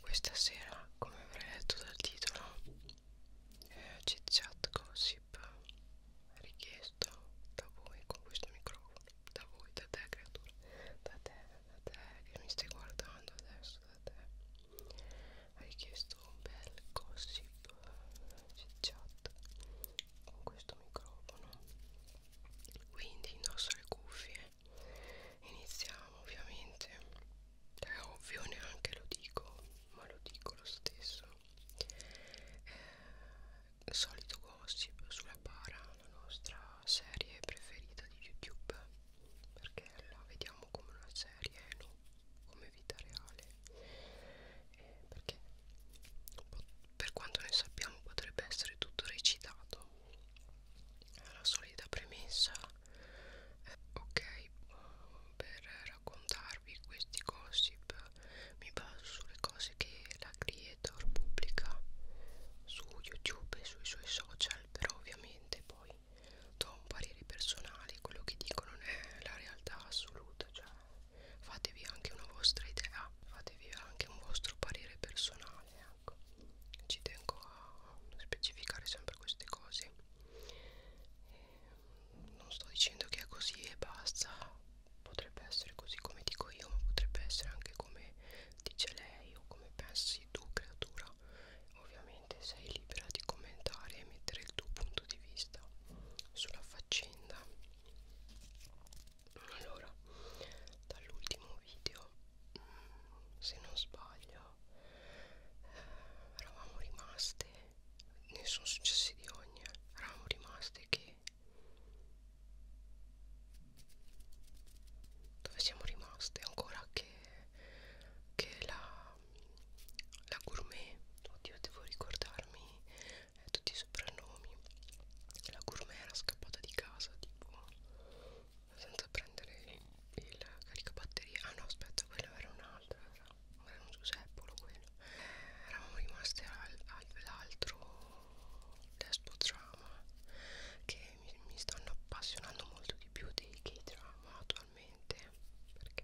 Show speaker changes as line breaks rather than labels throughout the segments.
questa sera, come avrei letto dal titolo, eh, chit chat gossip richiesto da voi con questo microfono, da voi, da te creatura, da te, da te che mi stai guardando adesso, da te, richiesto un bel gossip chit chat con questo microfono quindi indosso le cuffie iniziamo ovviamente è ovvio neanche lo dico ma lo dico lo stesso eh, solito gossip sulla para la nostra serie preferita di youtube perché la vediamo come una serie non come come vita reale eh, perché per quanto ne sappiamo potrebbe essere tutto recitato la solita premessa eh, ok per raccontarvi questi gossip mi baso sulle cose che la creator pubblica su youtube e sui suoi social però ovviamente poi do un parere personale quello che dico non è la realtà assoluta cioè fatevi anche una vostra idea fatevi anche un vostro parere personale ecco. ci tengo a specificare sempre queste cose e ehm, non sto dicendo che è così e basta potrebbe essere così come dico io ma potrebbe essere anche come dice lei o come pensi tu creatura ovviamente sei libera di commentare e mettere il tuo punto di vista sulla faccenda vicenda allora dall'ultimo video mm, se non sbaglio eh, eravamo rimaste ne sono successi di ogni eravamo rimaste che dove siamo rimaste ancora che, che la, la gourmet oddio devo ricordarmi eh, tutti i soprannomi la gourmet era scappata di casa tipo senza prendere il caricabatterie ah no aspetta quello era un altro era, era un Giuseppolo quello eh, eravamo rimasti all'altro despotrama che mi, mi stanno appassionando molto di più dei K-drama attualmente perché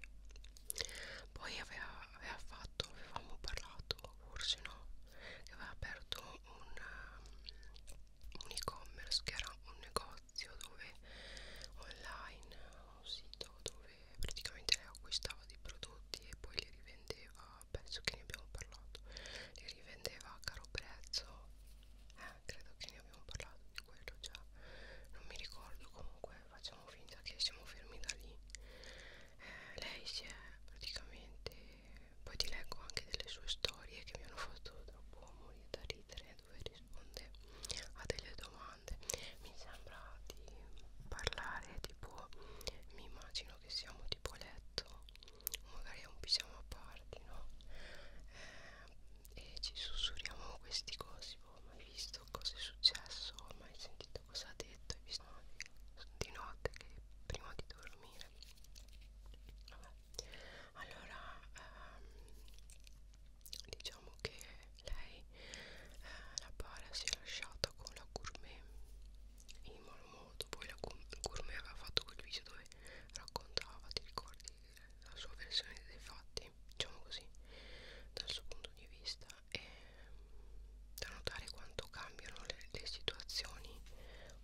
poi aveva, aveva fatto fatto, avevamo parlato, forse no, che aveva aperto un, um, un e-commerce che era un negozio dove online, un sito dove praticamente lei acquistava dei prodotti e poi li rivendeva, penso che ne abbiamo parlato, li rivendeva a caro prezzo, eh, credo che ne abbiamo parlato di quello già, non mi ricordo comunque facciamo finta che siamo fermi da lì eh, lei si è praticamente poi ti leggo anche delle sue storie che mi hanno fatto troppo morire da ridere dove risponde a delle domande mi sembra di parlare tipo mi immagino che siamo tipo a letto magari a un pigiama a parte no eh, e ci sussurriamo questi cosi ho mai visto cosa è successo, ho mai sentito cosa ha detto, hai visto di notte che prima di dormire. Vabbè. Allora, ehm, diciamo che lei, eh, la bara, si è lasciata con la gourmet in malo modo. Poi la gourmet aveva fatto quel video dove raccontava, ti ricordi, la sua versione dei fatti, diciamo così, dal suo punto di vista e da notare quanto cambiano le, le situazioni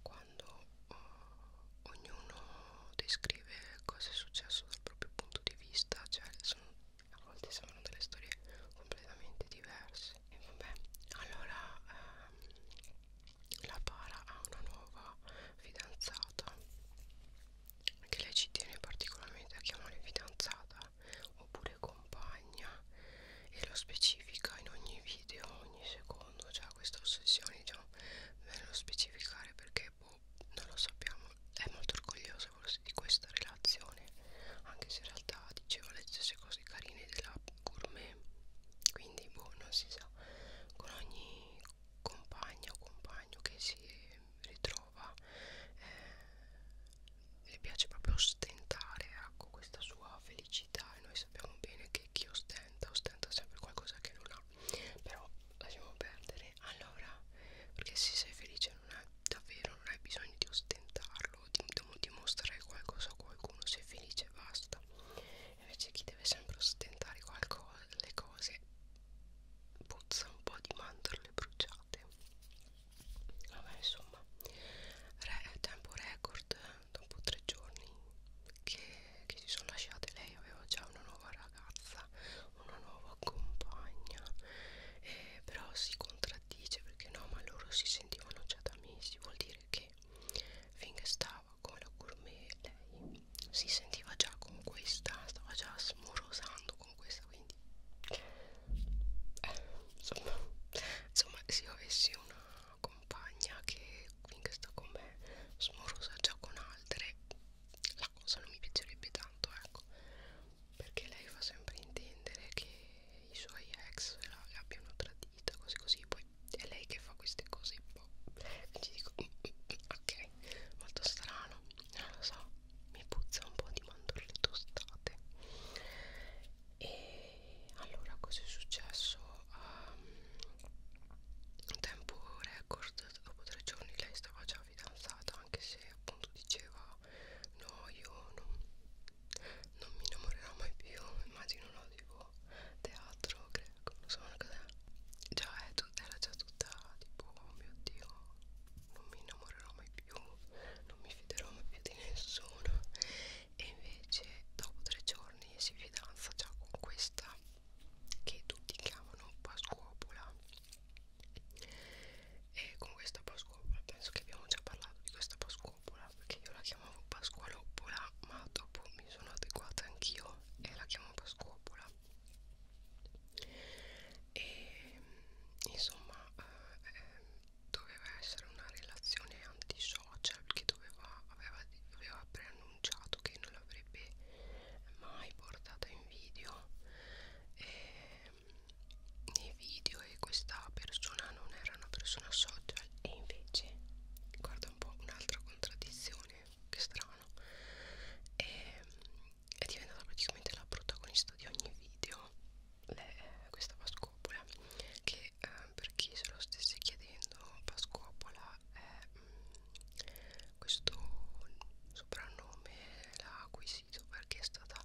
quando uh, ognuno descrive cosa è successo dal proprio punto di vista cioè sono, a volte sembrano delle storie completamente diverse e vabbè allora ehm, la para ha una nuova fidanzata che lei ci tiene particolarmente a chiamare fidanzata oppure compagna e lo specifica in ogni video, ogni secondo, cioè questa ossessione diciamo nello specificare perché boh, non lo sappiamo, è molto orgogliosa forse di questa relazione, anche se in realtà diceva le stesse cose carine della gourmet, quindi boh, non si sa, con ogni compagna o compagno che si ritrova giova eh, le piace proprio ostentare ecco, questa sua felicità e noi sappiamo bene che chi ostenta ostenta sempre qualcosa che non ha però lasciamo perdere allora perché se sei felice non hai davvero non hai bisogno di ostentarlo di, di dimostrare qualcosa a qualcuno sei felice e basta invece chi deve sempre ostentare qualcosa le cose puzza un po' di mandorle bruciate vabbè insomma Re, tempo record dopo tre giorni che, che si sono lasciate lei aveva già una nuova ragazza una nuova compagna eh, però si contraddice perché no ma loro si sentivano già da mesi vuol dire che finché stava con la gourmet lei si sentiva già con questa stava già smorosando con questa quindi eh, insomma, insomma se io avessi una compagna che finché sta con me smorosa già con altre la cosa non mi piacerebbe tanto ecco perché lei fa sempre intendere che i suoi ex la, la abbiano tradita così così poi è lei che fa queste cose un po' ci dico mm, mm, mm, ok molto strano non lo so mi puzza un po' di mandorle tostate e allora cosa è successo? Um, tempo record dopo tre giorni lei stava già fidanzata anche se appunto diceva no io non, non mi innamorerò mai più immagino no tipo teatro greco non so cos'è già è eh, era già tutta tipo oh mio dio non mi innamorerò mai più più non mi fiderò mai più di nessuno e invece dopo tre giorni si fidanza già con questa che tutti chiamano pascuopola e con questa pascuopola penso che abbiamo già parlato di questa pascuopola perché io la chiamavo pasqualopola ma dopo mi sono adeguata anch'io e la chiamo pascuopola e mm, insomma eh, eh, doveva essere una relazione antisocial che doveva, aveva, aveva preannunciato che non l'avrebbe mai portata in video eh, nei video e questa persona non era una persona social e invece guarda un po' un'altra contraddizione che strano e mm, è diventata praticamente la protagonista di ogni video le, questa pascopola che eh, per chi se lo stesse chiedendo pascopola è mh, mm, questo soprannome l'ha acquisito perché è stata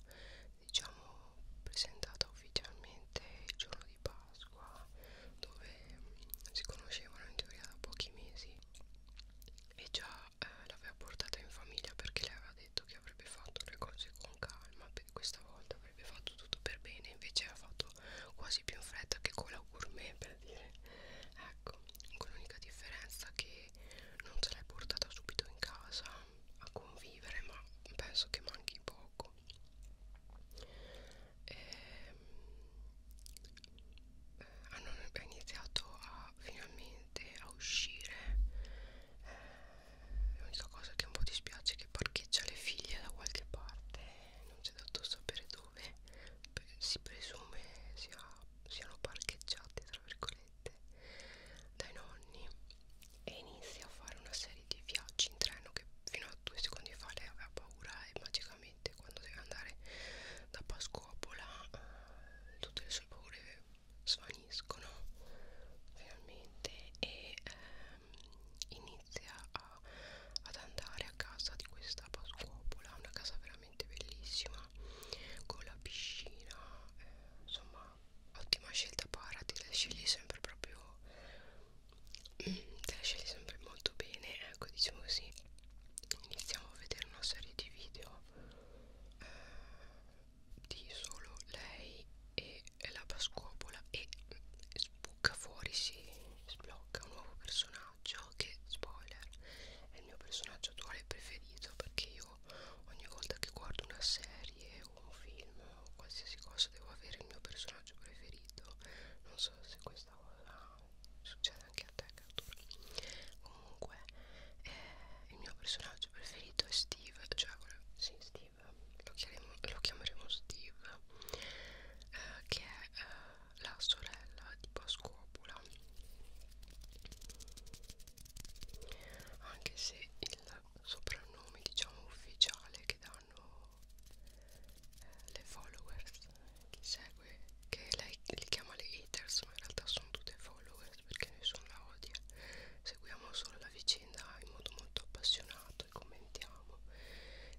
diciamo presentata ufficialmente il giorno di Pasqua dove mh, si conoscevano in teoria da pochi mesi e già eh, l'aveva portata in famiglia perché le aveva detto che avrebbe fatto le cose con calma questa volta avrebbe fatto tutto per bene invece ha fatto quasi più in fretta che con la gourmet per dire ecco con l'unica differenza che non ce l'hai portata subito in casa a convivere ma penso che manchi poco e, ehm, eh, hanno iniziato a finalmente a uscire eh, l'unica cosa che un po' dispiace è che parcheggia le figlie da qualche parte non c'è dato sapere dove Beh, si presume sia, siano parcheggiate tra virgolette dai nonni e inizia a fare una serie di viaggi in treno che fino a due secondi fa lei aveva paura e magicamente quando deve andare da Pascopola eh, tutte le sue paure svaniscono finalmente e ehm, inizia a, ad andare a casa di questa pascuopola una casa veramente bellissima con la piscina eh, insomma ottima scelta parati le scegli sempre proprio te la scegli sempre molto bene ecco diciamo così iniziamo a vedere una serie di video eh, di solo lei e la pascopola e spucca fuori si sblocca un nuovo personaggio che spoiler è il mio personaggio attuale preferito perché io ogni volta che guardo una serie o un film o qualsiasi cosa devo avere il mio personaggio preferito non so se questa cosa succede anche a te Cattura comunque eh, il mio personaggio preferito è Steve cioè sì, Steve lo chiameremo, lo chiameremo Steve eh, che è eh, la sorella di Pascopola anche se il soprannome diciamo ufficiale che danno eh, le followers chi segue che lei li chiama le haters ma in realtà sono tutte follower internet perché nessuno la odia seguiamo solo la vicenda in modo molto appassionato e commentiamo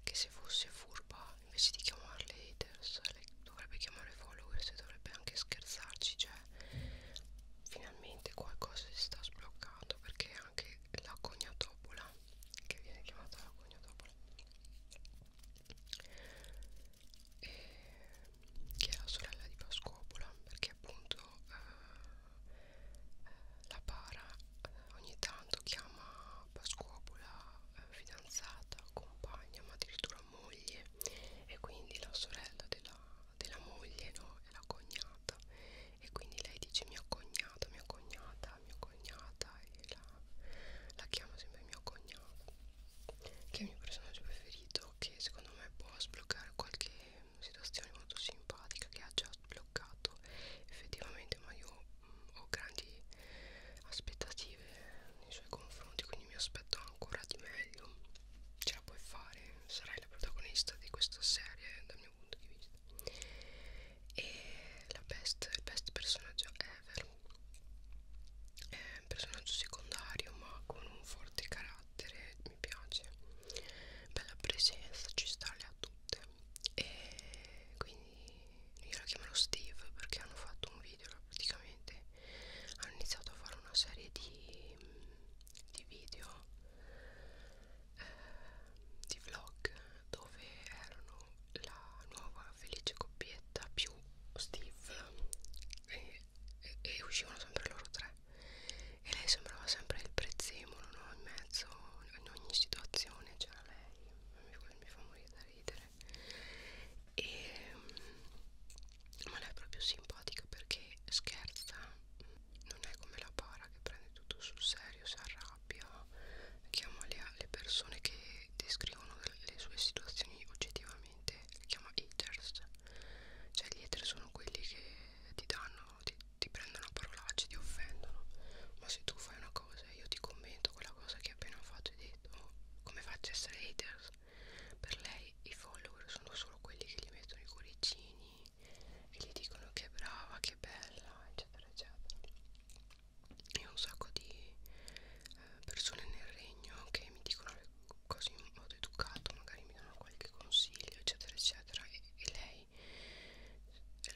che se fosse furba invece di chiamarle haters le dovrebbe chiamare followers e dovrebbe anche scherzarci cioè finalmente qualcosa si sta sbloccando perché anche la cognatopola che viene chiamata la cognatopola e eh, che è la sorella di Pascopola perché appunto eh, la para eh, ogni tanto chiama Pascopola eh, fidanzata, compagna ma addirittura moglie e quindi la sorella della, della moglie no? è la cognata e quindi lei dice mia cognata, mia cognata, mia cognata e la, la chiama sempre mia cognata che è il mio personaggio preferito video che secondo me può sbloccare qualche situazione molto simpatica che ha già sbloccato effettivamente ma io mh, mm, ho grandi aspettative nei suoi confronti quindi mi aspetto ancora di meglio ce la puoi fare sarai la protagonista di questa serie dal mio punto di vista e la best, il best personaggio ever è eh, un personaggio secondario ma con un forte carattere mi piace bella presenza ci sta le ha tutte e quindi io la chiamano Steve perché hanno fatto un video praticamente hanno iniziato a fare una serie di, di video eh, di vlog dove erano la nuova felice coppietta più Steve e, e, e uscivano sempre loro tre e lei sembrava sempre il prezzemolo no? in mezzo in ogni situazione c'era lei mi, mi fa morire da ridere e, ma lei è proprio simpatica perché scherza non è come la para che prende tutto sul serio si arrabbia chiama le, le persone che descrivono le, le sue situazioni oggettivamente praticamente li chiama haters cioè gli haters sono quelli che ti danno ti, ti prendono a parolacce ti offendono ma se tu fai una cosa io ti commento quella cosa che hai appena fatto e detto oh, come faccio a essere haters per lei i follower sono solo quelli che gli mettono i cuoricini e gli dicono che è brava che è bella eccetera eccetera e un sacco di eh, persone nel regno che mi dicono le, quasi in modo educato magari mi danno qualche consiglio eccetera eccetera e, e lei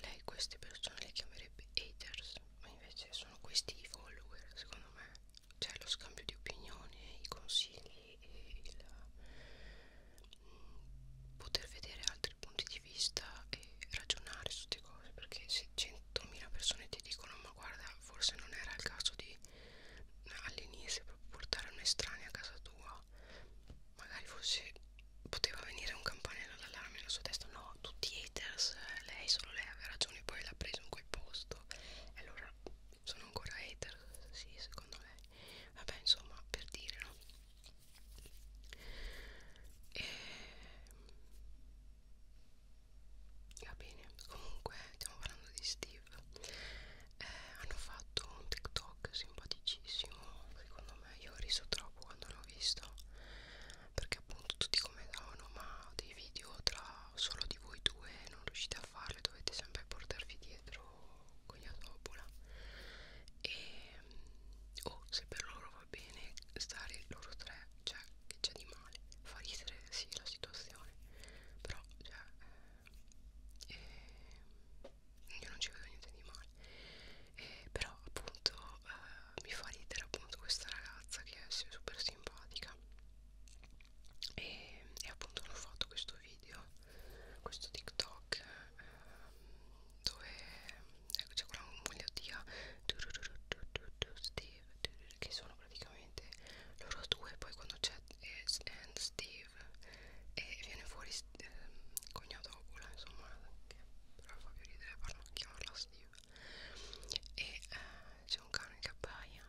lei queste persone le chiamerebbe haters ma invece sono questi i follower secondo me cioè lo scambio di opinioni i consigli e il mh, mm, poter vedere altri punti di vista e ragionare su queste cose perché se 100.000 persone ti dicono ma guarda forse non era il caso di all'inizio portare un estraneo a casa tua magari forse poteva venire un campanello d'allarme nella sua testa no tutti haters lei solo lei aveva ragione poi l'ha preso in quel posto e allora sono ancora hater sì secondo lei vabbè insomma per dire no e ehm, va bene comunque stiamo parlando di Steve eh, hanno fatto un TikTok simpaticissimo. Secondo me, io ho riso troppo quando l'ho visto perché, appunto, tutti commentavano: Ma dei video tra solo di voi due non riuscite a farli, dovete sempre portarvi dietro Cognatopola. E o oh, se per loro va bene stare loro tre, cioè, che c'è di male? Fa ridere sì la situazione, però, cioè. Eh, e io non ci vedo niente di male e però appunto eh, mi fa ridere appunto questa ragazza che è super simpatica e, e appunto hanno fatto questo video questo tiktok eh, dove eh, c'è ecco, quella mogliottia che sono praticamente loro due poi quando c'è eh, Steve e eh, viene fuori eh, cognato Ocula insomma che però fa più ridere parlo, chiamarla Steve e eh, c'è un cane che abbaia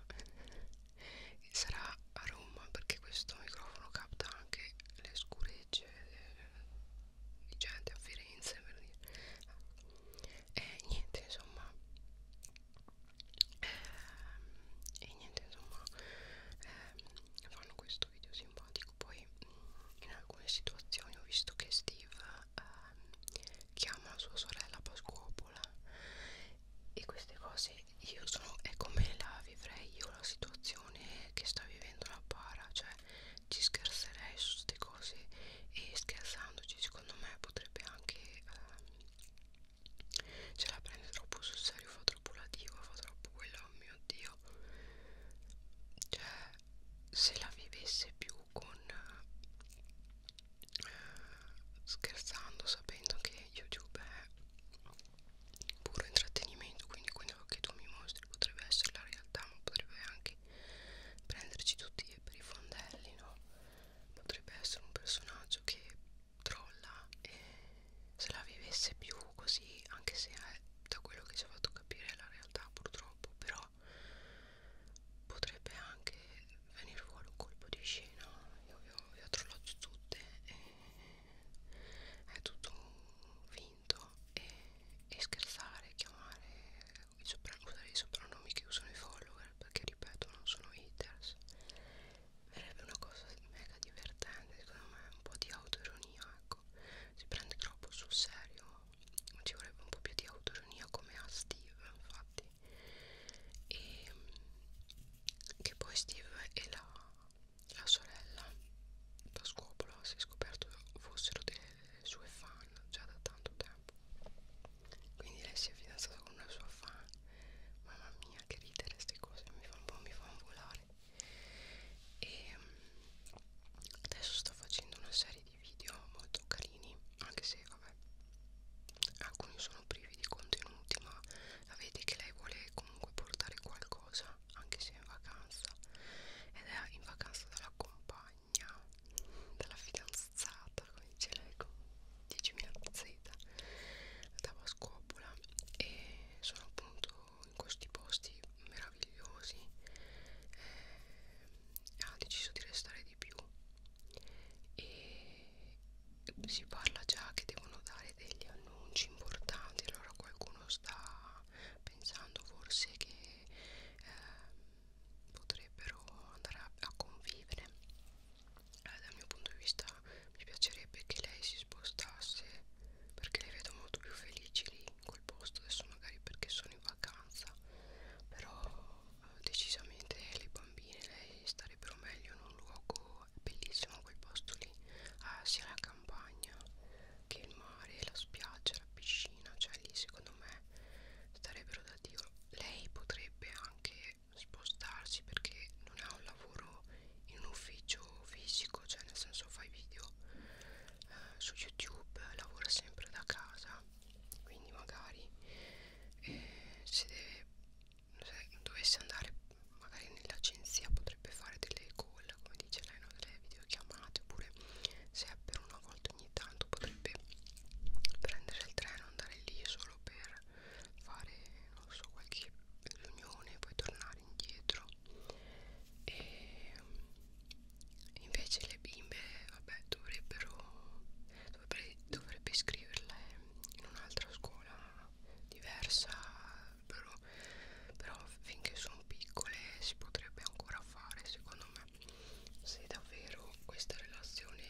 sarà a Roma perché questo microfono capta anche le scuregge di gente a Firenze per dire e eh, niente insomma e, ehm, e niente insomma eh, fanno questo video simpatico poi in alcune situazioni ho visto che Steve eh, chiama sua sorella Pasquopola e queste cose io sono è come la vivrei io la situazione che sta vivendo la para cioè ci scherzerei su queste cose e scherzandoci secondo me potrebbe anche eh, ce la prende troppo sul serio fa troppo la diva fa troppo quello oh mio dio cioè se la vivesse più con eh, scherzando sapendo che youtube è puro intrattenimento quindi quello che tu mi mostri potrebbe essere la realtà ma potrebbe anche prenderci tutti per i fondelli no potrebbe essere un personaggio che trolla e se la vivesse più così anche se è, eh, da quello che ci ha fatto capire la realtà purtroppo però potrebbe anche venire fuori un colpo di scena io vi ho, vi ho trollato tutte e è tutto vinto e, e scherzare chiamare i usare i soprannomi che usano i follower perché ripeto non sono haters verrebbe una cosa mega divertente secondo me un po' di autoironia ecco si prende troppo sul serio ma ci vorrebbe un po' più di autoironia come a Steve infatti e ehm, che poi Steve e la, la sorella da scopola si è scoperto fossero delle sue fan già da tanto tempo quindi lei si è fidanzata con una sua fan mamma mia che ridere queste cose mi fa un po' mi fanno volare e ehm, adesso sto facendo una serie di video molto carini anche se vabbè alcuni sono privi di contenuti ma la vedi che lei vuole comunque portare qualcosa anche se è in vacanza ed è in vacanza dalla compagna dalla fidanzata come dice lei 10.000 Z dava scopola e sono appunto in questi posti meravigliosi eh, ha deciso di restare di più e si parla già che devono dare degli annunci importanti allora qualcuno sta pensando forse che eh, potrebbero andare a, a convivere eh, dal mio punto di vista mi piacerebbe che lei si spostasse perché le vedo molto più felici lì in quel posto adesso magari perché sono in vacanza però eh, decisamente le bambine lei starebbero meglio in un luogo bellissimo quel posto lì ah, sia la campagna che il mare la spiaggia la piscina cioè lì secondo me starebbero da dio lei potrebbe anche deve spostarsi perché non ha un lavoro in un ufficio fisico cioè nel senso fa i video eh, su youtube lavora sempre da casa quindi magari eh, se, deve, se dovesse andare magari nell'agenzia potrebbe fare delle call come dice lei no? delle videochiamate oppure se per una volta ogni tanto potrebbe prendere il treno andare lì solo per fare non so qualche riunione poi tornare indietro e invece le bimbe vabbè dovrebbero dovrebbe, dovrebbe iscriverle in un'altra scuola diversa però, però finché sono piccole si potrebbe ancora fare secondo me se davvero questa relazione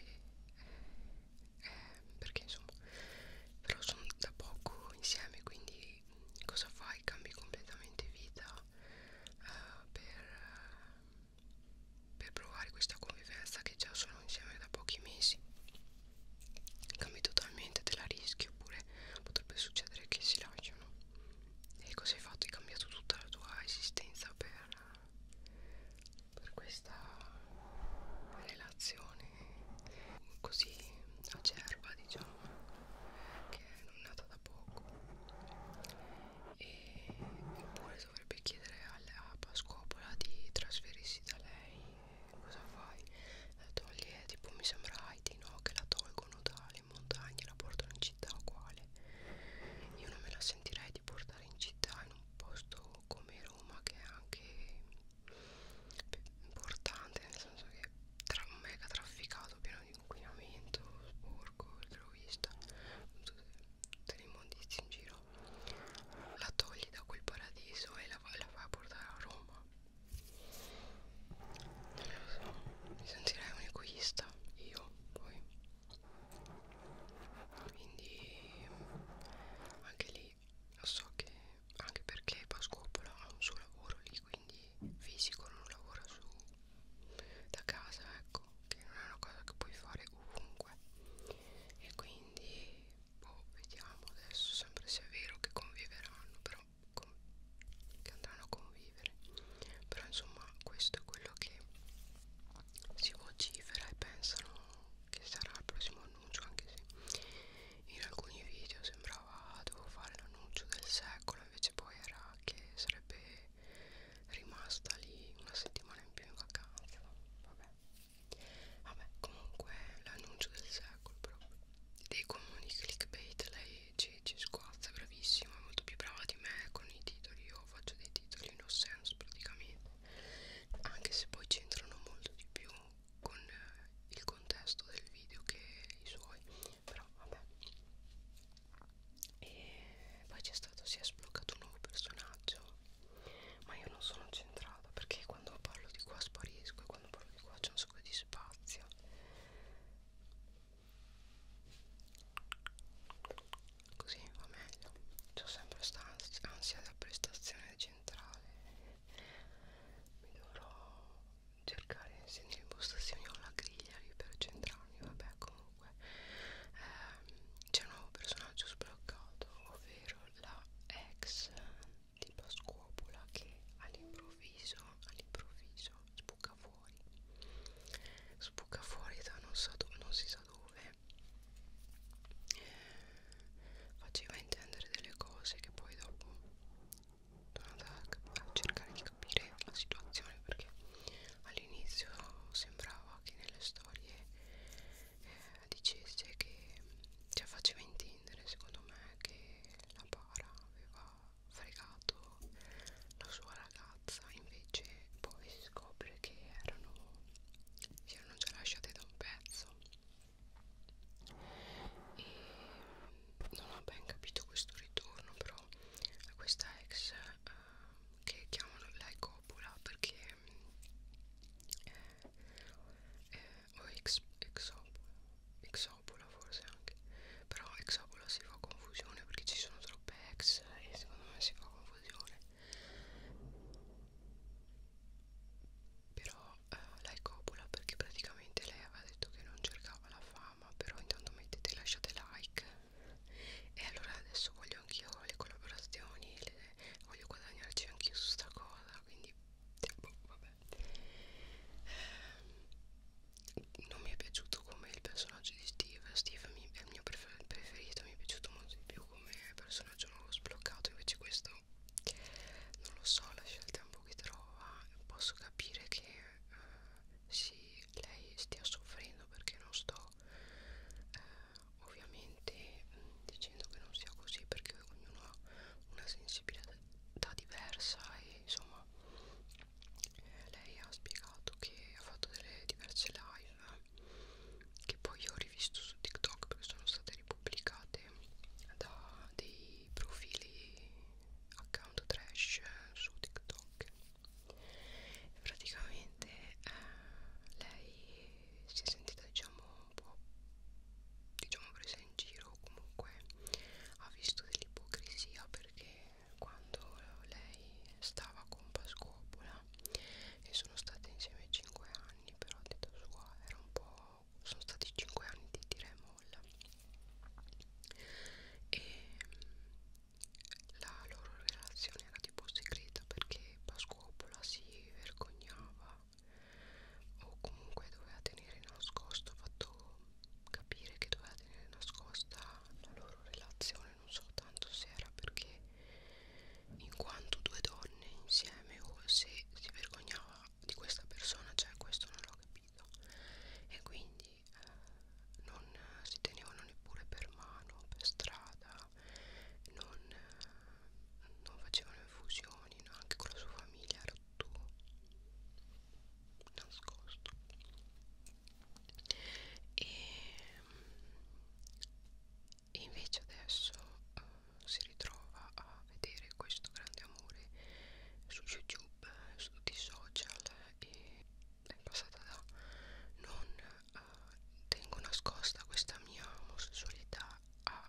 eh, perché insomma però sono da poco insieme quindi cosa fai? Cambi completamente vita eh, per, per provare questa convivenza che già sono insieme da pochi mesi cambi totalmente, te la rischi oppure potrebbe succedere che si lasciano e cosa hai fatto? Hai cambiato tutta la tua esistenza per per questa relazione così acerba diciamo che non è nata da poco e oppure dovrebbe chiedere alla Pascopola di trasferirsi da lei cosa fai? la toglie tipo mi sembra Haiti no? che la tolgono dalle montagne la portano in città uguale io non me la sentirei di portare in città in un posto come Roma che è anche importante nel senso che tra mega trafficato pieno di inquinamento sporco egoista tutte le immondizie in giro la togli da quel paradiso e la, la fai portare a Roma non lo so mi sentirei un egoista io poi quindi anche lì quindi so che anche perché Pascopola ha un suo lavoro lì quindi fisico non lavora su da casa ecco che non è una cosa che puoi fare ovunque e quindi boh vediamo adesso sempre se è vero che conviveranno però con, che andranno a convivere però insomma questo è quello che si vocifera e pensano che sarà il prossimo annuncio anche se in alcuni video sembrava dovevo fare l'annuncio del secolo invece poi era che sarebbe rimasta lì una settimana in più in vacanza vabbè vabbè comunque l'annuncio del secolo proprio dei comuni clickbait lei ci, ci squazza bravissima è molto più brava di me con i titoli io faccio dei titoli no sense praticamente anche se poi c'entrano molto di più con eh, il contesto del video che i suoi però vabbè e poi c'è stato si è sbloccato un nuovo personaggio ma io non sono centrata perché quando parlo di qua sparisco e quando parlo di qua c'è un sacco di spazio così va meglio c'ho sempre questa ansia da prestazione centrata centrale mi dovrò cercare se nell'impostazione ho la griglia lì per centrarmi vabbè comunque ehm, c'è un nuovo personaggio sbloccato ovvero la ex di Pascuopola che all'improvviso all'improvviso sbuca fuori sbuca fuori da non, so non si sa dove faceva intendere delle cose che poi dopo sono andata a cercare di capire la situazione perché all'inizio sembrava che nelle storie eh, dicesse che cioè faceva intendere secondo me che la para aveva fregato la sua ragazza invece poi si scopre che erano si erano già lasciate da un pezzo e non ho ben capito questo ritorno però a questa ex eh, che chiamano lei Coppola perché eh, eh, o ex, exopola, exopola forse anche però exopola si fa confusione perché ci sono troppe ex e secondo me si fa confusione però eh, lei copula perché praticamente lei aveva detto che non cercava la fama però intanto mettete lasciate like e allora adesso voglio anch'io le collaborazioni le, voglio guadagnarci anch'io su sta cosa quindi boh, vabbè eh, non mi è piaciuto come il personaggio di Steve Steve mi, è il mio prefer preferito mi è piaciuto molto di più come personaggio nuovo sbloccato invece questo non lo so lascia il tempo che trova posso capire che eh, sì lei stia soffrendo perché non sto eh, ovviamente mm, dicendo che non sia così perché ognuno ha una sensibilità diversa e insomma eh, lei ha spiegato che ha fatto delle diverse live che poi ho rivisto su TikTok perché sono state ripubblicate da dei profili account trash su TikTok e praticamente eh, lei si è sentita diciamo un po' diciamo presa in giro comunque ha visto dell'ipocrisia perché quando lei stava con Pascopola e sono state insieme 5 anni anni però a detta sua era un po' sono stati 5 anni di tira e molla e la loro relazione era tipo segreta perché Pasquopola si vergognava o comunque doveva tenere nascosto, fatto capire che doveva tenere nascosta la loro relazione, non so tanto se era perché in quanto due donne insieme o se si vergognava di questa persona, cioè questo non l'ho capito e quindi eh, non si tenevano neppure per mano, per strada, non, eh, non facevano infusioni, no? anche con la sua famiglia era tutto nascosto e e invece adesso uh, si ritrova a vedere questo grande amore su youtube su tutti i social e è passata da non uh, tengo nascosta questa mia omosessualità a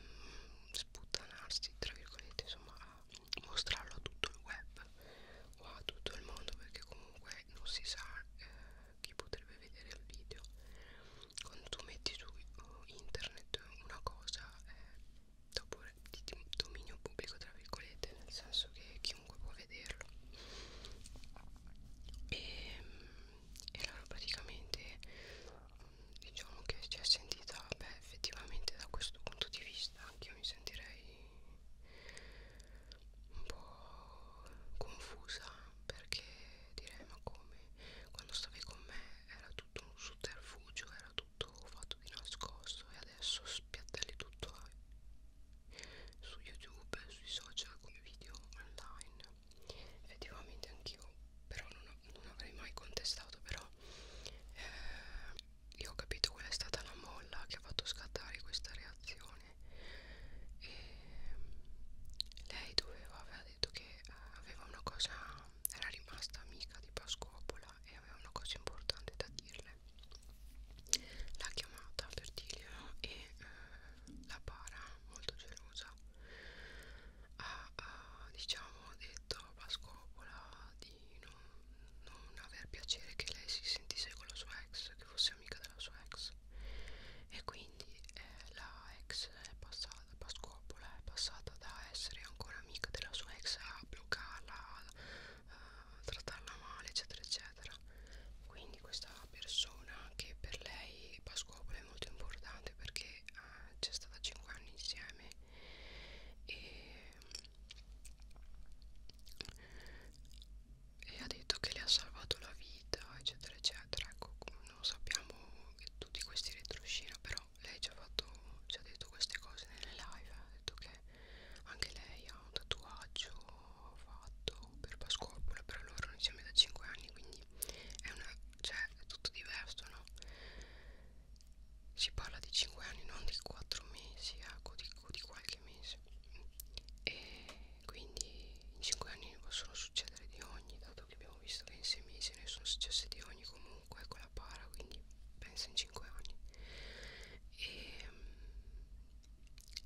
mm, sputtanarsi tra virgolette insomma a mostrarlo a tutto il web o a tutto il mondo perché comunque non si sa eh, chi potrebbe vedere il video quando tu metti su uh, internet una cosa eh, dopo di dominio pubblico tra virgolette nel senso che chiunque può vederlo ehm, e, e allora praticamente diciamo che si è sentita beh effettivamente da questo punto di vista anche io mi sentirei un po' confusa perché direi ma come me quando stavi con me era tutto un sotterfugio era tutto fatto di nascosto e adesso spiattelli tutto su youtube sui social come video online effettivamente anch'io però non, non avrei mai contestato però eh, io ho capito qual è stata la molla che ha fatto scattare questa reazione e mm, lei doveva detto che eh, aveva una cosa, era rimasta amica di Pascopola e aveva una cosa importante da dirle. L'ha chiamata Bertilio e eh, la para, molto gelosa, ha, ha diciamo detto a Pascopola di non, non aver piacere che lei si sentisse con la sua ex, che fosse amica della sua ex e quindi eh, la ex è passata Pascopola è passata da essere ancora amica della sua ex a bloccarla a, a eh, trattarla male eccetera eccetera quindi questa persona che per lei Pascopola è molto importante perché eh, c'è stata 5 anni insieme e, e ha detto che le ha salvato la vita eccetera eccetera ecco non sappiamo tutti questi retroscena però lei ci ha, fatto, ci ha detto queste cose nelle live ha detto che anche lei ha un tatuaggio fatto per Pasquoppola però loro non insieme da 5 anni quindi è, una, cioè, è tutto diverso no? si parla di 5 anni non di 4 mesi ecco di, di qualche mese e quindi in 5 anni possono succedere di ogni da passato che abbiamo visto che in 6 mesi ne sono successe di ogni comunque con la para quindi penso in 5 anni e, ehm,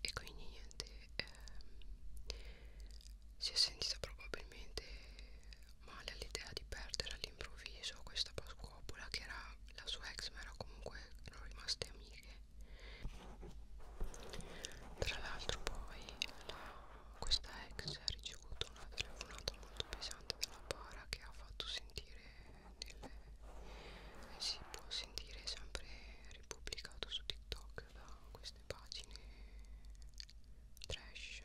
e quindi niente eh, si è sentita probabilmente male all'idea di perdere all'improvviso questa pasquopola che era la sua ex ma era comunque erano rimaste amiche tra l'altro poi la questa ex ha ricevuto una telefonata molto pesante dalla para che ha fatto sentire delle, eh, si può sentire sempre ripubblicato su TikTok da queste pagine trash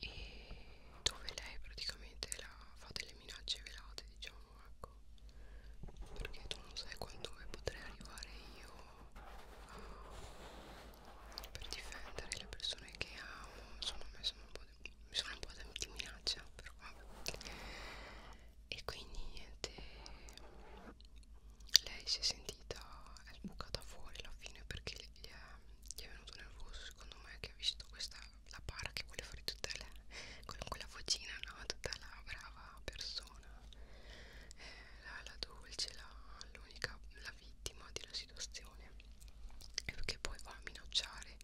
e dove lei praticamente la fa delle minacce velate diciamo ecco perché tu non sai quando potrai arrivare io per difendere le persone che amo insomma mi sono un po' di, mi sono un po di minaccia però vabbè e quindi niente lei si è sentita è sbucata fuori alla fine perché gli è, gli è venuto nervoso secondo me che ha visto questa la para che vuole fare tutta la con quella vocina no tutta la brava persona eh, la, la dolce, l'unica, la, la vittima della situazione e perché poi va a minacciare,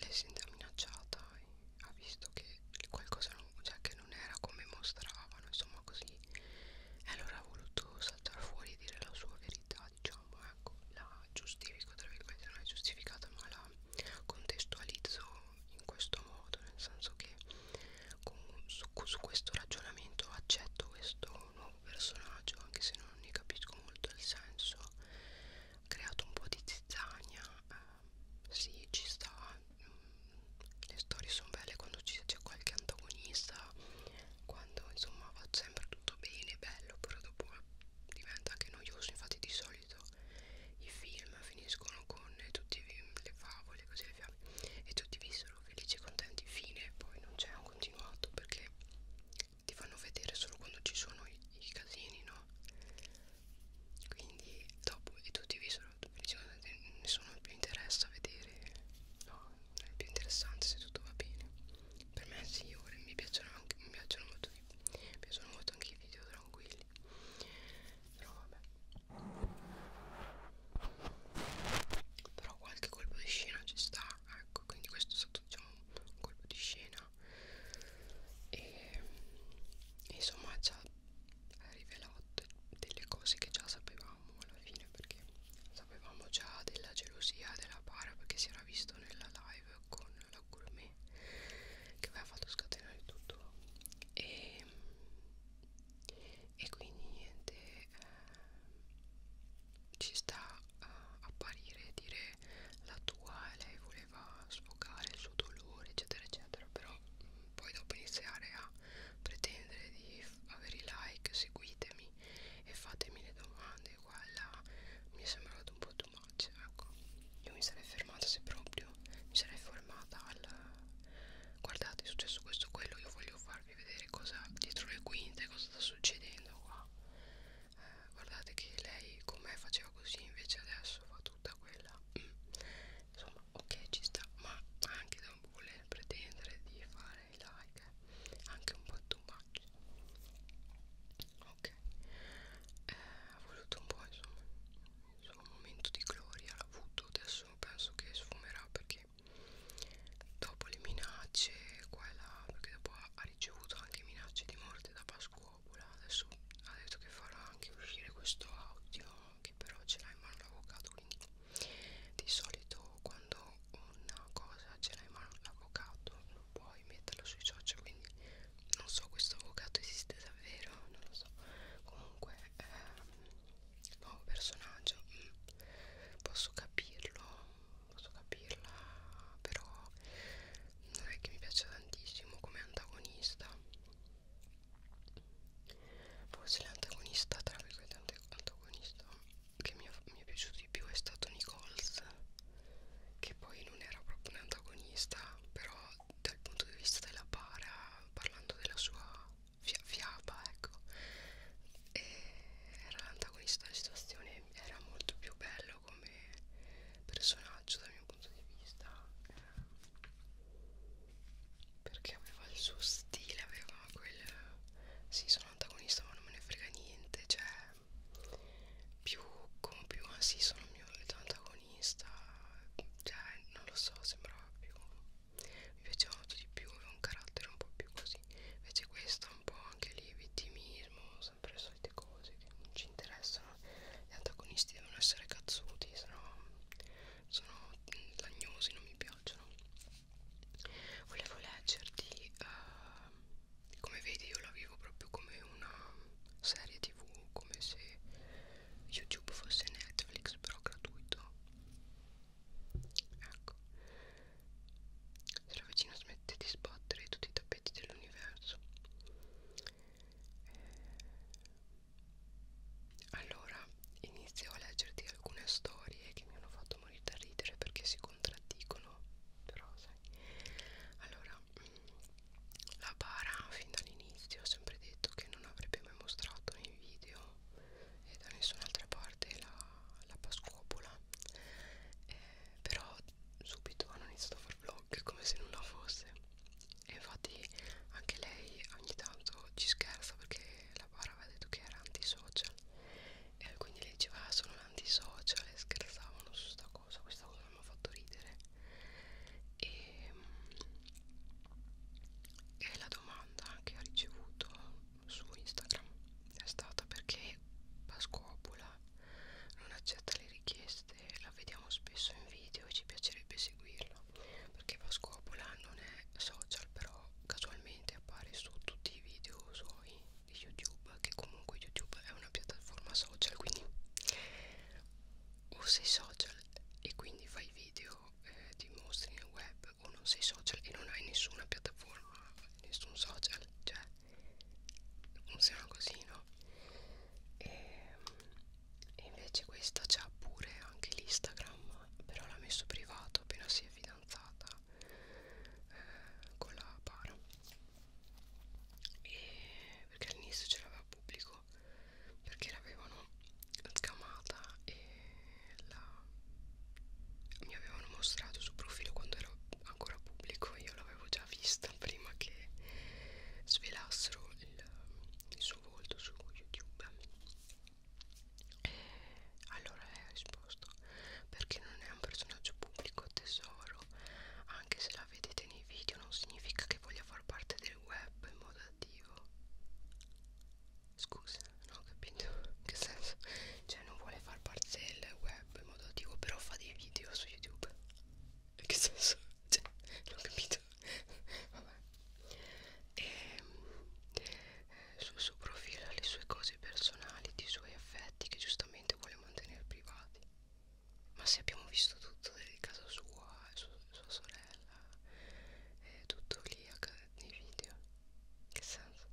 lei si sente minacciata e ha visto che qualcosa non, cioè che non era come mostravano, insomma così e allora ha voluto saltare fuori e dire la sua verità, diciamo, ecco, la giustifico, tra virgolette non è giustificata ma la contestualizzo in questo modo nel senso che con, su, su questo ragionamento accetto questo nuovo personaggio anche se non ne capisco molto il senso ha creato un po' di zizzagna eh, sì ci sta mm, le storie sono belle quando c'è qualche antagonista quando insomma va sempre tutto bene bello però dopo diventa anche noioso infatti di solito i film finiscono con tutte le favole, così le fiabe e tutti vissero felici e contenti fine, poi non c'è un continuato perché ti fanno vedere solo quando ci sono i, i casini, no? Quindi dopo e tutti vissero felici e contenti, nessuno più interessa vedere, no? È più interessante se tutto va bene. Per me sì, ora mi piacciono anche mi piacciono molto, mi piacciono molto anche i video tranquilli belli però vabbè però qualche colpo di scena ci sta ecco quindi questo è stato diciamo un colpo di scena e insomma ci ha rivelato delle cose che già sapevamo alla fine perché sapevamo già della gelosia della para perché si era visto nella live con la gourmet che aveva fatto scatenare tutto e e quindi niente eh, ci sta eh, a apparire e dire la tua e lei voleva sfogare il suo dolore eccetera eccetera però mh, mm, poi dopo iniziare a pretendere di avere i like seguitemi e fatemi le domande guarda mi è sembrato un po' too much ecco io mi sarei fermata se proprio mi sarei allarmata al guardate è successo questo quello io voglio farvi vedere cosa dietro le quinte cosa sta succedendo qua eh, guardate che lei con me faceva così invece adesso fa tutta quella mm. insomma ok ci sta ma anche da voler pretendere di fare i like eh. anche un po' too much ok eh, ha voluto un po' insomma suo momento di gloria l'ha avuto adesso penso che sfumerà perché dopo le minacce qua e là perché dopo ha, ha ricevuto anche minacce di morte da Pasquopola adesso ha detto che farà anche uscire questo audio che però ce l'ha in mano l'avvocato quindi di solito quando una cosa ce l'ha in mano l'avvocato non puoi metterla sui social quindi non so questo avvocato esiste davvero non lo so comunque ehm, nuovo personaggio mm. posso capirlo posso capirla però non è che mi piace tantissimo come antagonista forse l'antagonista tra virgolette antagonista che mi, ha, mi è piaciuto di più è stato Nichols che poi non era proprio un antagonista però dal punto di vista della para parlando della sua fia fiaba ecco e era l'antagonista della situazione era molto più bello come personaggio dal mio punto di vista eh, perché aveva il suo stile aveva quel sì sono antagonista ma non me ne frega niente cioè più come più ah sì sono mio antagonista cioè non lo so sembrava più mi piaceva molto di più aveva un carattere un po' più così invece questa un po' anche lì vittimismo sempre le solite cose che non ci interessano gli antagonisti devono essere cazzuti sennò sono lagnosi non mi piacciono volevo leggerti uh, come vedi io la vivo proprio come una serie tv come se YouTube fosse Netflix però gratuito ecco se la vicina smette di sbattere tutti i tappeti dell'universo eh. allora inizio a leggerti alcune storie che mi hanno fatto morire da ridere perché si contraddicono però sai allora mm, la bara fin dall'inizio ho sempre detto che che non avrebbe mai mostrato nei video e da nessun'altra parte la, la pascopola eh, però subito hanno iniziato a fare vlog come se nulla fosse e infatti anche lei ogni tanto ci scherza perché la bara aveva detto che era antisocial e quindi lei diceva ah, sono un antisocial e scherzavano su sta cosa questa cosa mi ha fatto ridere e mm, e la domanda che ho ricevuto su Instagram è stata perché Pasquopula non accetta le richieste, la vediamo spesso in video e ci piacerebbe seguirla perché Pasquopula non è social però casualmente appare su tutti i video suoi di YouTube che comunque YouTube è una piattaforma social quindi o sei social e quindi fai video sito eh, ti mostri nel web o non sei social e non hai nessuna piattaforma, nessun social, cioè funziona così, no? E, ehm, e invece questa c'ha pure anche l'Instagram, però l'ha messo privato appena si è fidanzata eh, con la para. E perché all'inizio ce l'aveva pubblico perché l'avevano scamata e la... mi avevano mostrato sul profilo quando ero ancora pubblico io l'avevo già vista prima che svelassero il, il suo volto su youtube e allora lei ha risposto perché non è un personaggio pubblico tesoro anche se la vedete nei video non significa che voglia far parte del web in modo relativo scusa non ho capito in che senso cioè non vuole far parte del web in modo attivo però fa dei video su youtube in che senso cioè non ho capito vabbè e ehm, sul suo profilo ha le sue cose personali i suoi affetti che giustamente vuole mantenere privati ma se abbiamo visto tutto del caso sua e eh, sua sorella sorella è tutto lì nei video che senso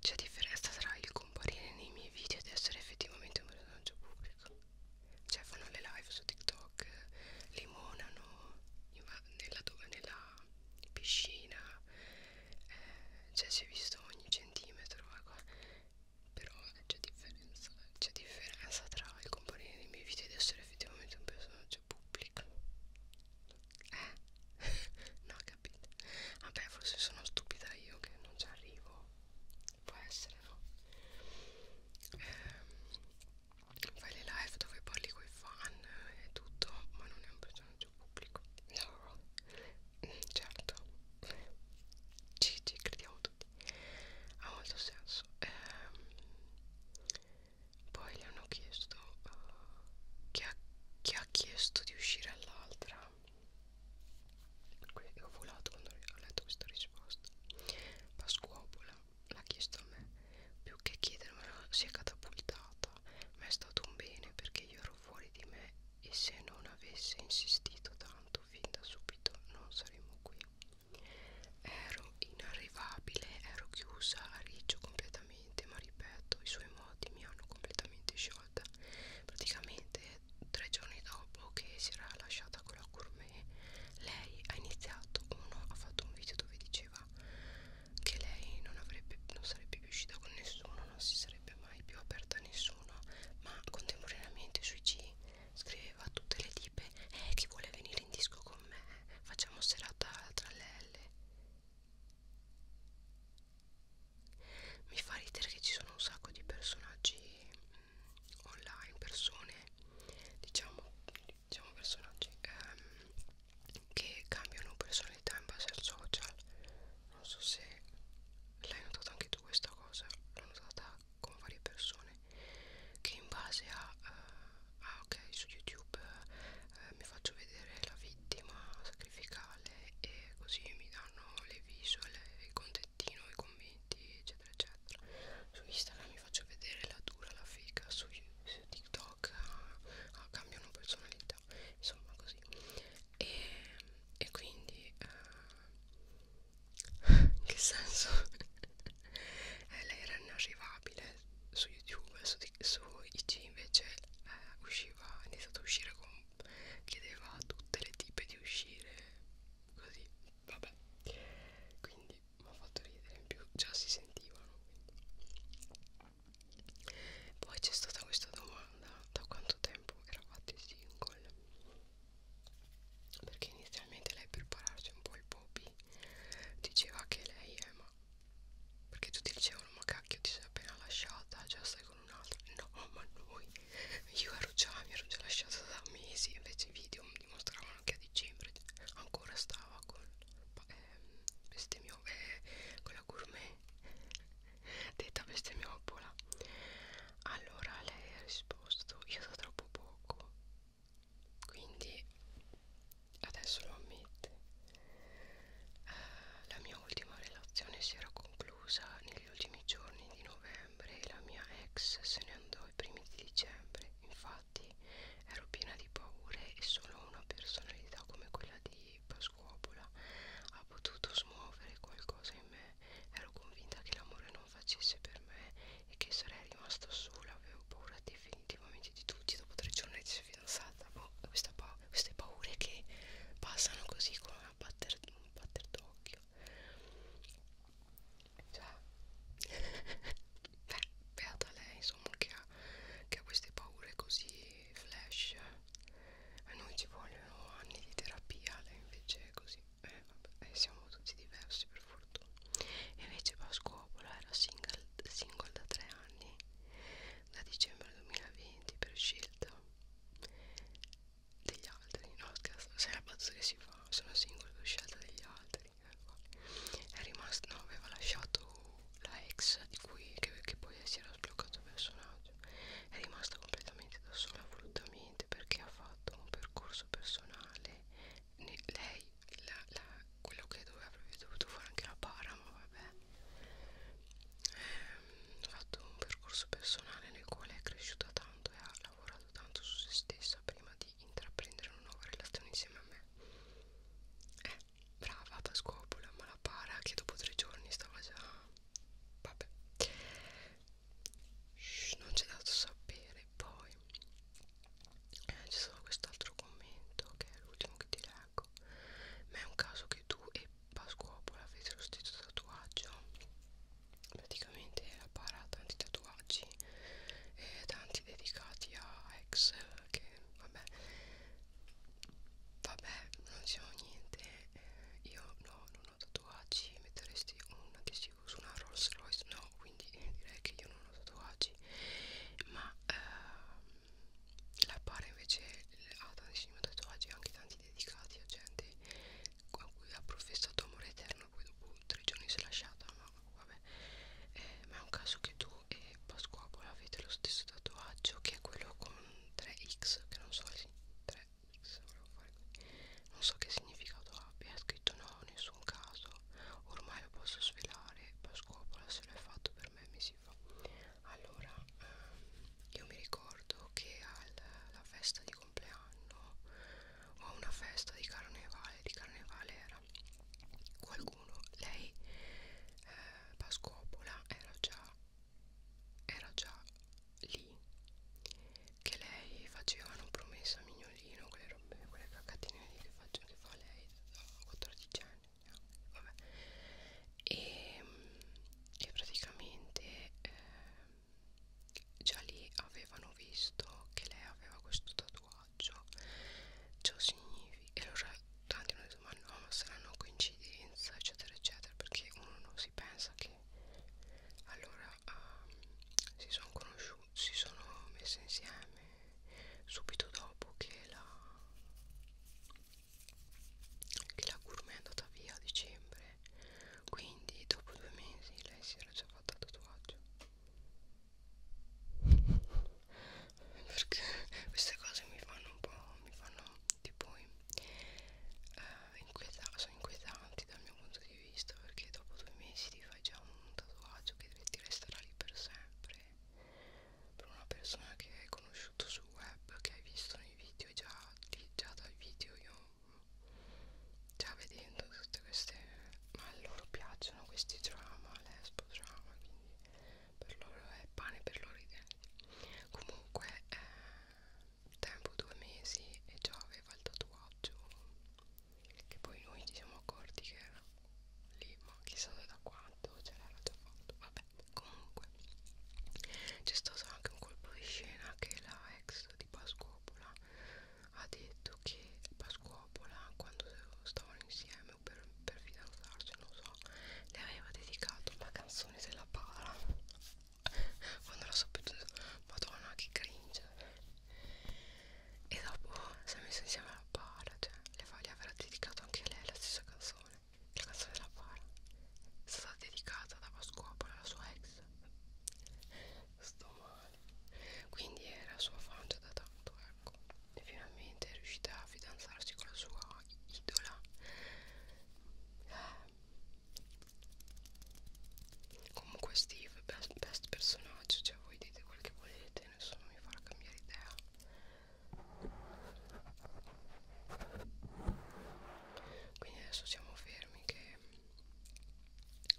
c'è differenza tra il comparire nei miei video ed essere effettivamente un personaggio pubblico cioè fanno le live su tiktok limonano nella, nella piscina eh, cioè si è visto ogni centimetro ecco. però c'è differenza c'è differenza tra il comparire nei miei video ed essere effettivamente un personaggio servizio pubblico eh? no capite vabbè forse sono stupida io che non ci arrivo può essere no eh, fai le live dove parli coi fan e tutto ma non è un personaggio pubblico no mm, certo ci, ci crediamo tutti ha molto senso eh, poi le hanno chiesto uh, chi, ha, chi ha chiesto di uscire all'altra quindi ho volato quando ho letto questa risposta Pasquopola l'ha chiesto a me più che chiedermela si è catapultata ma è stato un bene perché io ero fuori di me e se non avesse insistito tanto fin da subito non saremmo qui Ero inarrivabile, ero chiusa a riccio completamente, ma ripeto, i suoi modi mi hanno completamente sciolta. Praticamente tre giorni dopo che si era lasciata con la gourmet, lei ha iniziato, uno ha fatto un video dove diceva che lei non, avrebbe, non sarebbe più uscita con nessuno, non si sarebbe mai più aperta a nessuno, ma contemporaneamente sui G scriveva a tutte le tipe eh, chi vuole venire in disco con con me facciamo serata tra le L mi fa ridere che ci sono un sacco di personaggi mh, mm, online persone diciamo diciamo personaggi ehm, che cambiano personalità in base al social non so se l'hai notata anche tu questa cosa l'ho notata con varie persone che in base a uh, ah ok su youtube uh, mi faccio vedere la vittima sacrificale e così mi danno le visual il contentino i commenti eccetera eccetera su instagram mi faccio vedere la dura la fica su, su tiktok uh, uh, cambiano personalità insomma così e, e quindi uh, eh, che senso eh, lei era inarrivabile su youtube su, su IC invece eh, usciva ha iniziato a uscire con chiedeva a tutte le tipe di uscire così vabbè quindi mi ha fatto ridere in più già si sentivano quindi. poi c'è stata questa domanda da quanto tempo eravate single perché inizialmente lei per pararci un po' il Bobby diceva che lei è ma perché tutti dicevano ma cacchio ti sei appena lasciata già stai con un'altra no ma noi io ero già mi ero già lasciata da mesi invece i video mi dimostravano che a dicembre ancora stava con ehm, bestemmio eh, con la gourmet detta bestemmioppola allora lei ha risposto io so troppo poco quindi adesso lo ammette uh, la mia ultima relazione si era conclusa negli ultimi giorni di novembre e la mia ex se ne andò i primi di dicembre infatti ero piena di paure e solo una personalità come quella di Pasquopola ha potuto smuovere qualcosa in me ero convinta che l'amore non facesse per me e che sarei rimasta sola, avevo paura definitivamente di tutti dopo tre giorni di fidanzata. Boh, questa pa queste paure che passano così con una batter un batter d'occhio. Cioè, beh, beata lei, insomma, che ha, che ha queste paure così flash. A noi ci vogliono anni di terapia, lei invece è così. Eh, vabbè, eh, siamo tutti diversi per fortuna invece Pascuopola era single, single da tre anni da dicembre 2020 per scelta degli altri no scherzo se la battuta che si fa sono single per scelta degli altri ecco. è rimasto no aveva lasciato la ex di cui che, che poi si era sbloccato il personaggio è rimasta completamente da sola volutamente perché ha fatto un percorso personale lei la, la, quello che doveva avrebbe dovuto fare anche la para ma vabbè ehm, ha fatto un percorso personale nel quale è cresciuta tanto e ha lavorato tanto su se stessa prima di intraprendere una nuova relazione insieme a me eh, brava Pasquopola ma la para che dopo tre giorni stava già vabbè Shh, non c'è dato sapere poi eh, ci sono quest'altro commento che è l'ultimo che ti leggo ma è un caso che tu e Pasquopola avete lo stesso tatuaggio praticamente la para ha tanti tatuaggi e tanti dedicati a ex che vabbè vabbè non c'è diciamo niente eh, io no non ho tatuaggi metteresti una che si tatuaggio su una Rolls Royce no quindi direi che io non ho tatuaggi ma ehm, la Pare invece ha tantissimi tatuaggi anche tanti dedicati a gente a cui ha professato amore eterno poi dopo tre giorni si è lasciata ma vabbè eh, ma è un caso che tu e Pasquapola avete lo stesso tatuaggio che è quello con 3x che non so 3x volevo fare qui non so che significato abbia, è scritto no, nessun caso ormai lo posso svelare Pasquopola se lo è fatto per me mi si fa allora eh, io mi ricordo che alla festa di compleanno o a una festa di carnevale di carnevale era qualcuno lei eh, Pasquopola era già era già lì che lei faceva una promessa mignolina cagnolino, quelle robe, quelle caccatine che, faccio, che fa lei da 14 anni, vabbè. E, ehm, e praticamente eh, già lì avevano visto che lei aveva questo tatuaggio, ciò significa, e allora tanti hanno detto ma no, ma sarà una coincidenza, eccetera, eccetera, perché uno non si pensa che allora um, si sono conosciuti si sono messe insieme subito dopo che la che la gourmet è andata via a dicembre quindi dopo due mesi lei si era già fatta tatuaggio perché queste cose mi fanno un po' mi fanno tipo uh, inquieta sono inquietanti dal mio punto di vista perché dopo due mesi di fare è già un tatuaggio che ti resterà lì per sempre per una persona che hai conosciuto sul web che hai visto nei video già, lì, già dal video io già vedendo tutte queste ma a loro piacciono questi drama lesbo drama quindi per loro è pane per loro idee comunque eh, tempo due mesi e già aveva il tatuaggio che poi noi ci siamo accorti che era lì ma chissà da quanto ce l'era già fatto vabbè comunque c'è stato anche un colpo di scena che la ex di Pascopola ha detto che Pascopola quando stavano insieme o per, per fidanzarsi non so le aveva dedicato la canzone della pala quando l'ho saputo madonna che cringe e dopo si è messo insieme alla para cioè le, le avrà dedicato anche a lei la stessa canzone la canzone della para è stata dedicata da Pasquapola alla sua ex sto male quindi era sua fan già da tanto ecco e finalmente è riuscita a fidanzarsi con la sua idola eh. comunque Steve best, best personaggio cioè voi dite quel che volete niente nessuno mi farà cambiare idea quindi adesso siamo fermi che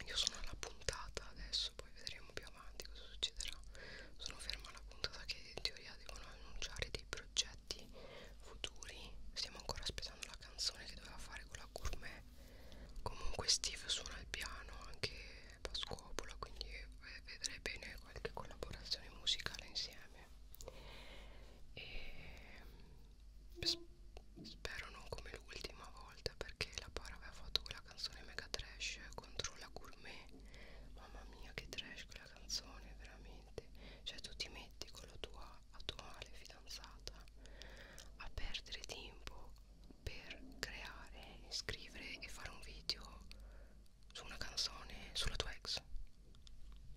io sono alla puntata adesso poi vedremo più avanti cosa succederà sono ferma alla puntata che in teoria devono annunciare dei progetti futuri stiamo ancora aspettando la canzone che doveva fare con la gourmet Comunque Steve suona il piano anche da scopola, quindi vedrei bene qualche collaborazione musicale insieme. E spero non come l'ultima volta perché la Para aveva fatto quella canzone mega trash contro la gourmet. Mamma mia che trash quella canzone, veramente. Cioè tu ti metti con la tua attuale fidanzata a perdere tempo per creare, scrivere e fare un video su una canzone sulla tua ex.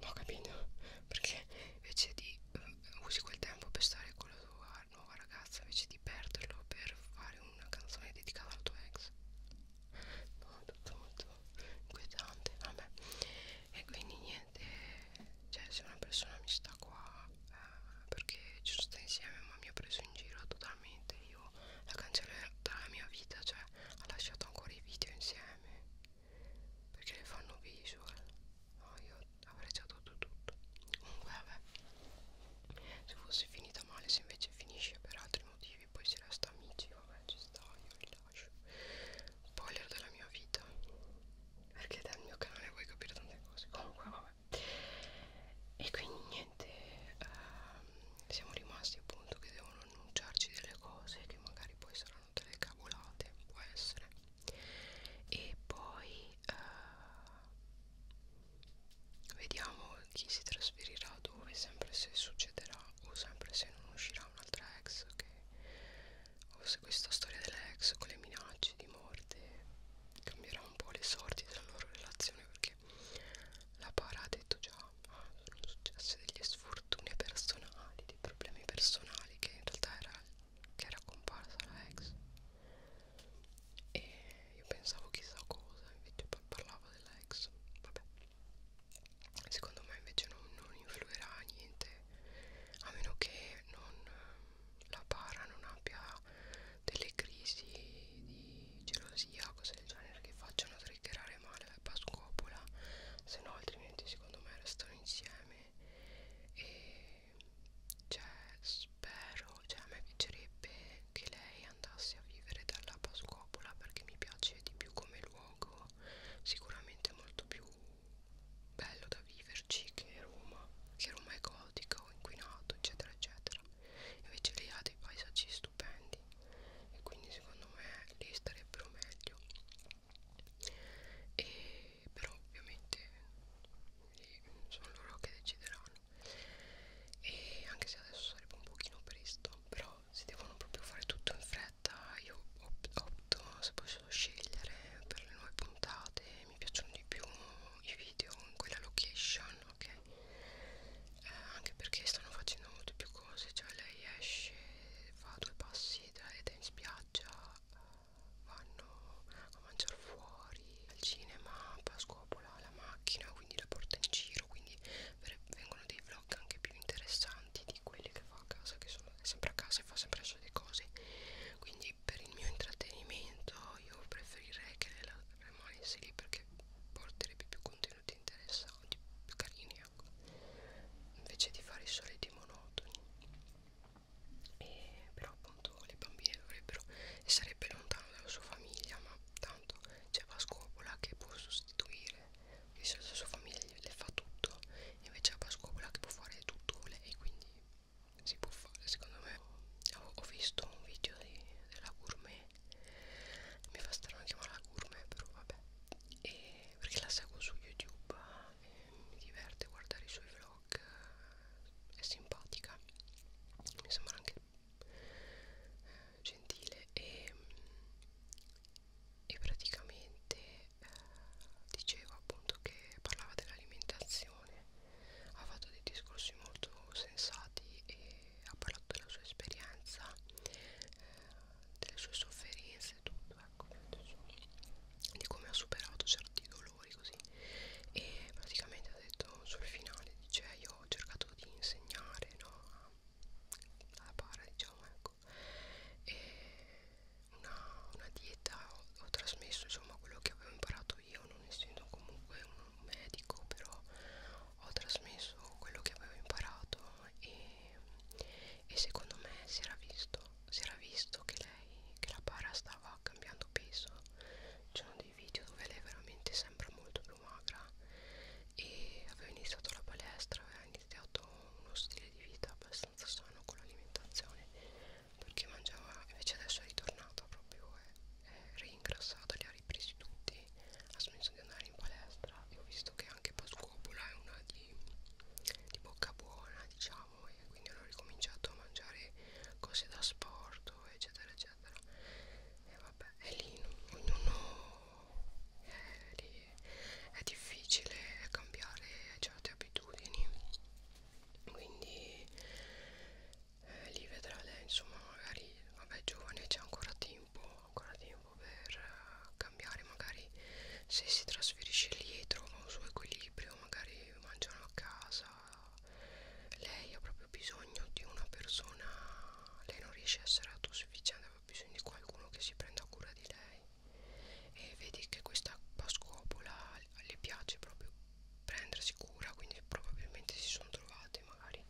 No, capito? Perché invece di uh, usi quel tempo per stare con la tua nuova ragazza, invece di perderlo per fare una canzone dedicata alla tua ex. No, tutto molto inquietante, vabbè. E quindi niente, cioè se una persona mi sta qua eh, perché ci sono stati insieme ma mi ha preso in giro totale veramente io la cancellerò dalla mia vita cioè ha lasciato ancora i video insieme perché le fanno visual no io avrei già dato tutto comunque vabbè se fosse finita male se invece finisce per altri motivi poi si resta amici vabbè ci sta io li lascio spoiler della mia vita perché dal mio canale vuoi capire tante cose comunque vabbè qua e quindi niente ehm, siamo rimasti appunto che devono annunciarci delle cose che magari poi saranno delle cavolate può essere e poi eh, vediamo chi si trasferirà dove sempre se succederà o sempre se non uscirà un'altra ex che o se questa storia dell'ex con le minacce di morte cambierà un po' le sorti della loro relazione me perché la para ha detto già ah, sono successe delle sfortune personali, dei problemi personali che in realtà era, che era comparsa la ex e io pensavo chissà cosa, invece parlava della ex, vabbè secondo me invece non, non influirà niente a meno che non, la para non abbia delle crisi di gelosia, cose del genere che facciano triggerare male la pascopola, se no altrimenti secondo me restano insieme e cioè spero, cioè a me piacerebbe che lei andasse a vivere dalla pascopola perché mi piace di più come luogo, sicuramente molto più bello da viverci che Roma, che Roma è gotica o inquinato eccetera eccetera eccetera invece lei ha dei paesaggi stupendi e quindi secondo me lei starebbero meglio e però ovviamente sono loro che decideranno e anche se adesso sarebbe un pochino presto però se devono proprio fare tutto in fretta io opto se posso scegliere per le nuove puntate mi piacciono di più i video in quella location ok eh, anche perché stanno facendo molte più cose cioè lei esce fa due passi ed è in spiaggia vanno a mangiare fuori al cinema scopola la macchina quindi la porta in giro quindi vengono dei vlog anche più interessanti di quelli che fa a casa che sono sempre a casa e fa sempre le solite cose quindi quindi per il mio intrattenimento io preferirei che la rimanesse lì perché porterebbe più contenuti interessanti, più carini ecco invece di fare i soliti monotoni e, però appunto le bambine dovrebbero e sarebbe lontano dalla sua famiglia ma tanto c'è Pascopola che può sostituire la sua famiglia le fa tutto invece a Pascopola che può fare tutto lei quindi si può fare secondo me ho, ho visto un video di, della gourmet mi fa strano chiamarla gourmet però vabbè e perché la seguo su youtube eh, mi diverte guardare i suoi vlog eh, è simpatica mi sembra anche eh, gentile e, e praticamente eh, diceva appunto che parlava dell'alimentazione ha fatto dei discorsi molto sensati e ha parlato della sua esperienza, eh, delle sue sofferenze e tutto, ecco, di come ha superato certi dolori così e praticamente ha detto sul finale, dice eh, io ho cercato di insegnare, no? alla pari diciamo ecco e una, una dieta ho, ho trasmesso insomma quello che avevo imparato io non essendo comunque un medico però ho trasmesso quello che avevo imparato e, e secondo me si era visto si era visto che lei che la para stava cambiando peso c'erano dei video dove lei veramente sembra molto più magra e aveva iniziato la palestra aveva iniziato uno stile di vita abbastanza sano con l'alimentazione perché mangiava invece adesso è ritornata proprio è, è ingrassato li ha ripresi tutti ha smesso di andare in palestra e ho visto che anche Pascopola è una di, di bocca buona diciamo e quindi hanno ricominciato a mangiare cose da sport eccetera eccetera e vabbè è lì ognuno è lì è difficile cambiare certe abitudini quindi eh, li vedrà lei insomma magari vabbè giovane c'è ancora tempo ancora tempo per uh, cambiare magari se si trasferisce lì trova un suo equilibrio magari mangiano a casa lei ha proprio bisogno di una persona lei non riesce a essere autosufficiente ha bisogno di qualcuno che si prenda cura di lei e vedi che questa pascopola le piace proprio prendersi cura quindi probabilmente si sono trovate magari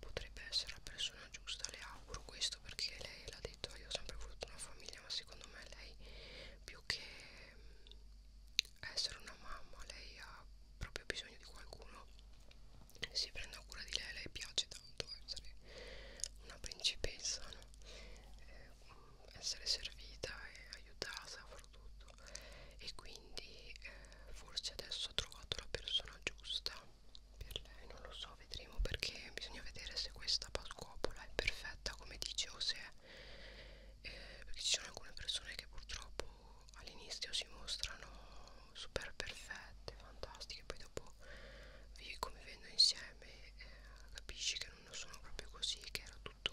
potrebbe essere la persona giusta le auguro questo perché lei l'ha detto io ho sempre voluto una famiglia ma secondo me lei più che mm, essere una mamma lei ha proprio bisogno di qualcuno che si prenda cura di lei lei piace tanto essere una principessa no? eh, mm, essere servita e aiutata a far prodotto e quindi eh, forse adesso ho trovato la persona giusta per lei non lo so vedremo perché bisogna vedere se questa pasquopola è perfetta come dice o se è eh, perché ci sono alcune persone che purtroppo all'inizio si mostrano super perfette fantastiche poi dopo vi convivendo insieme eh, capisci che non sono proprio così che era tutto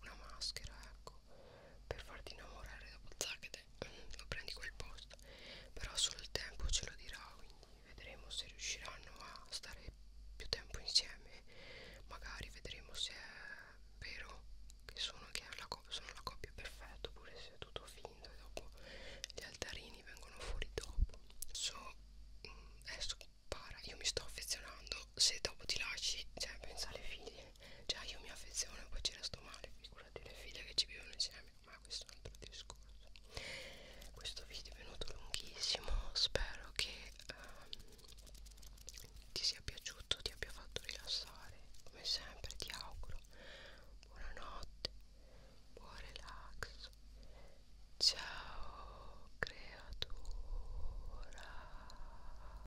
una maschera ecco per farti innamorare da Pozzachete mm, lo prendi quel posto però solo il tempo ce lo dirà quindi vedremo se riusciranno a stare più tempo insieme magari vedremo se è vero che sono, che la, sono la coppia perfetta oppure se è tutto finto e dopo gli altarini vengono fuori dopo so, mm, adesso para io mi sto affezionando tanto se dopo ti lasci, cioè pensa alle figlie, cioè io mi affeziono poi ci resto male, figurati le figlie che ci vivono insieme, ma questo è un altro discorso. Questo video è venuto lunghissimo, spero che um, ti sia piaciuto, ti abbia fatto rilassare, come sempre ti auguro buonanotte, buon relax, ciao creatura.